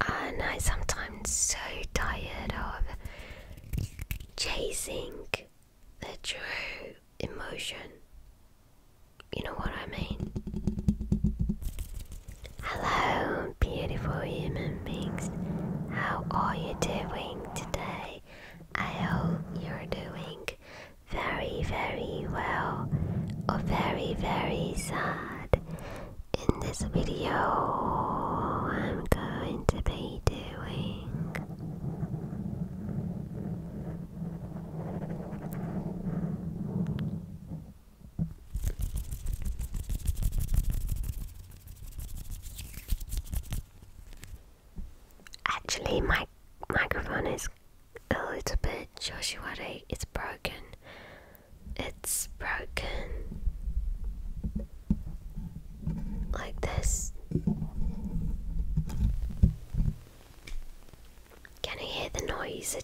and I sometimes so tired of chasing the true emotion. You know what I mean? Hello, beautiful human beings. How are you doing today? I hope you're doing very, very well or very, very sad. In this video, I'm going to be doing Actually, my microphone is a little bit Joshuari, it's broken it's broken like this. Can you hear the noise?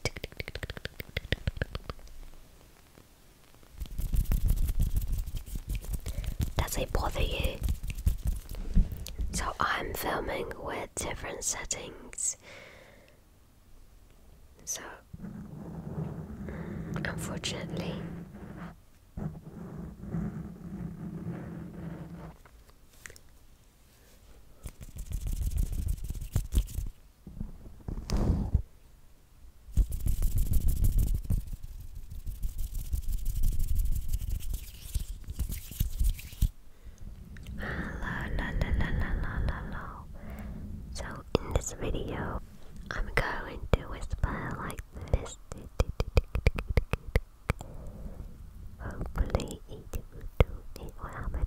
Does it bother you? So I'm filming with different settings so, unfortunately, Hello, la, So in this video, I'm going to whisper like this. Hopefully, One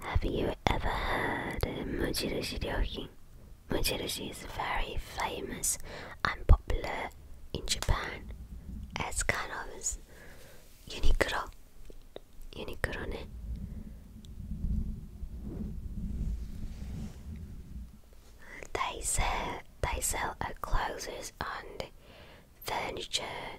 Have you ever heard Mujirushi Ryokin? Mujirushi is very famous and popular in Japan as kind of Uniqlo. Uniqlo ne. They sell, they sell clothes and furniture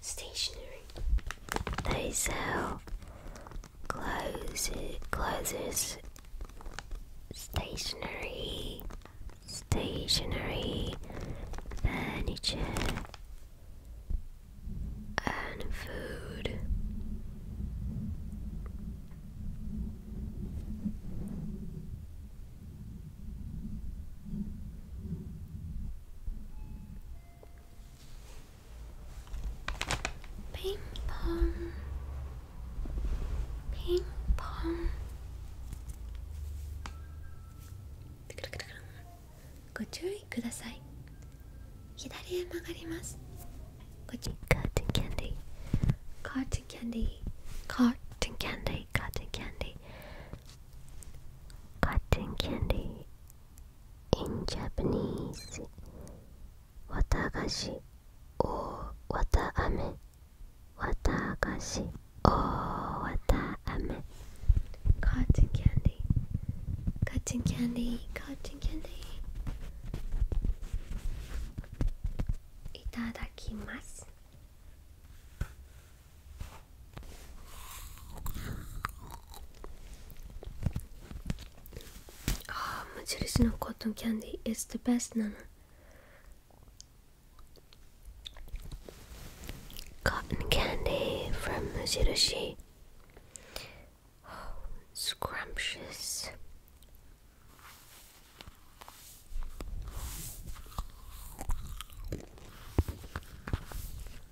stationery. They sell clothes, clothes, stationery, stationery, furniture, and food. ピンポンピンポンご注意ください左へ曲がりますこっちカーテンキャンディカーテンキャンディカーテンキャンディカーテンキャンディカーテンキャンディ in Japanese, watagashi or wataame. Watagashi or wataame. Cotton candy. Cotton candy. Cotton candy. Itadakimasu. Oh, ah, Majorino cotton candy is the best, Nana. Cotton candy from Mujirushi. Oh, scrumptious.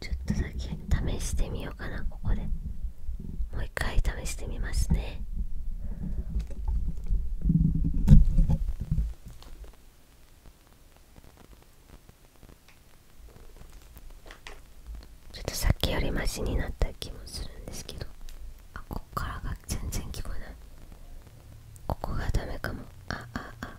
ちょっとだけ試してみようかなここでもう一回試してみますねちょっとさっきよりマシになった気もするんですけどあこっからが全然聞こえないここがダメかもあああ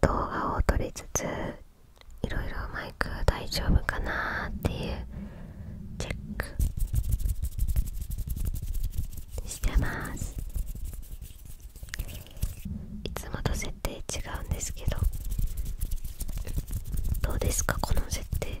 動画を撮りつついろいろマイク大丈夫かなっていうチェックしてますいつもと設定違うんですけどどうですかこの設定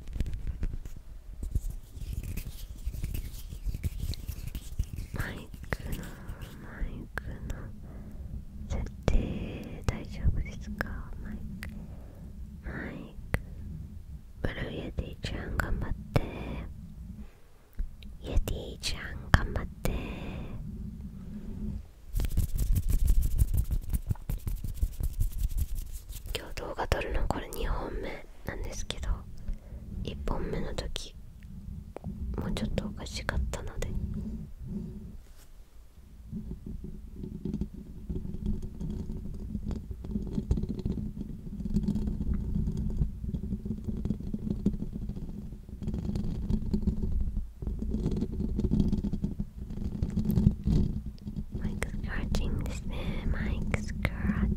マイクのマイクの設定大丈夫ですかマイクマイクブルーイエティちゃん頑張ってイエティちゃん頑張って今日動画撮るのこれ2本目なんですけど1本目の時もうちょっとおかしかったので Mike scratching this man, scratching.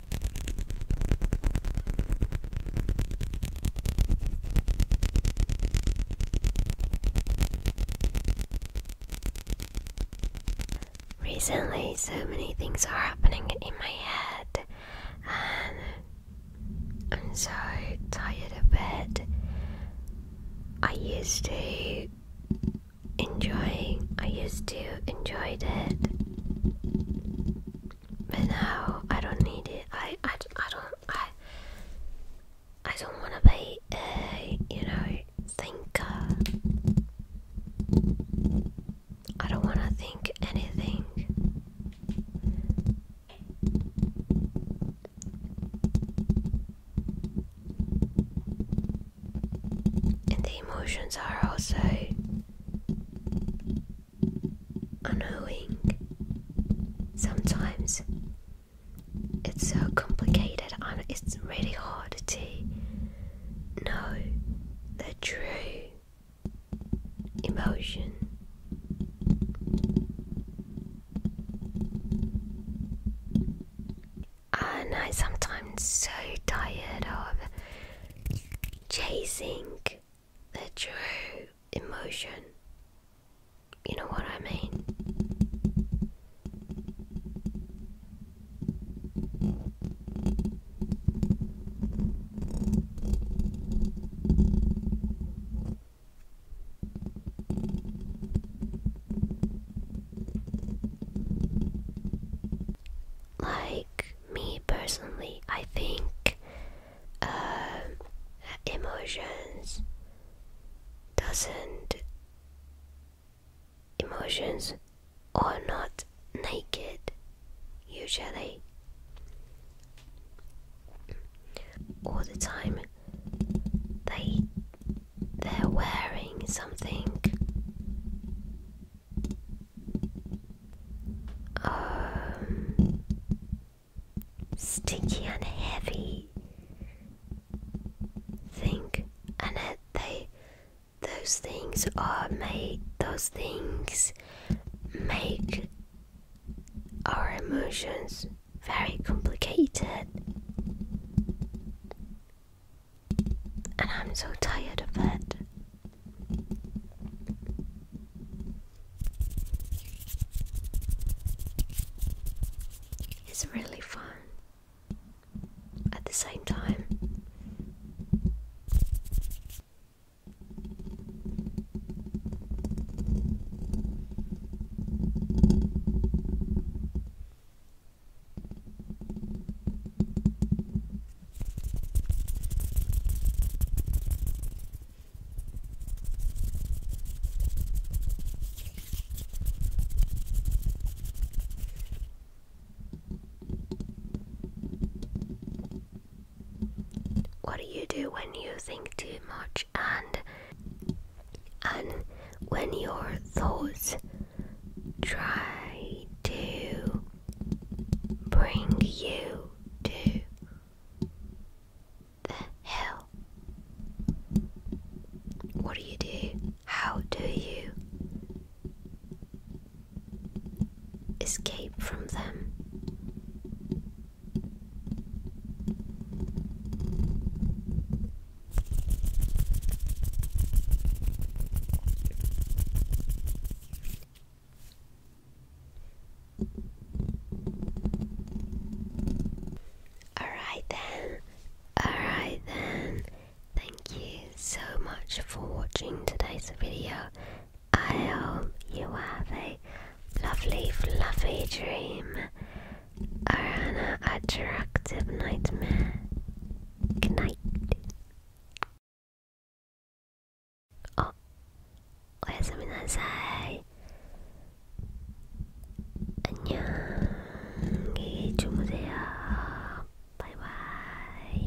Recently, so many things are happening in my head, and I'm so tired of it. I used to enjoying. I used to enjoy it, but now I don't need it. I I, I don't I I don't want to be a you know thinker. I don't want to think anything and the emotions are also unknowing. Sometimes it's so complicated and it's really hard to know the true emotion and I sometimes so tired of chasing the true emotion. You know what I mean? Like me personally, I think uh, emotions doesn't emotions are not naked usually all the time they they're wearing something. Um, sticky and heavy thing, and they those things are made. Those things make our emotions very complicated and I'm so tired of it. It's really fun at the same time. What do you do when you think too much and and when your thoughts try to bring you to the hell, what do you do? How do you escape from them? Alright then, alright then, thank you so much for watching today's video. I hope you have a lovely, fluffy dream. Arana Attractive Nightmare. Good night. Oh, Oyasaminasai. 안녕히 주무세요. 바이바이.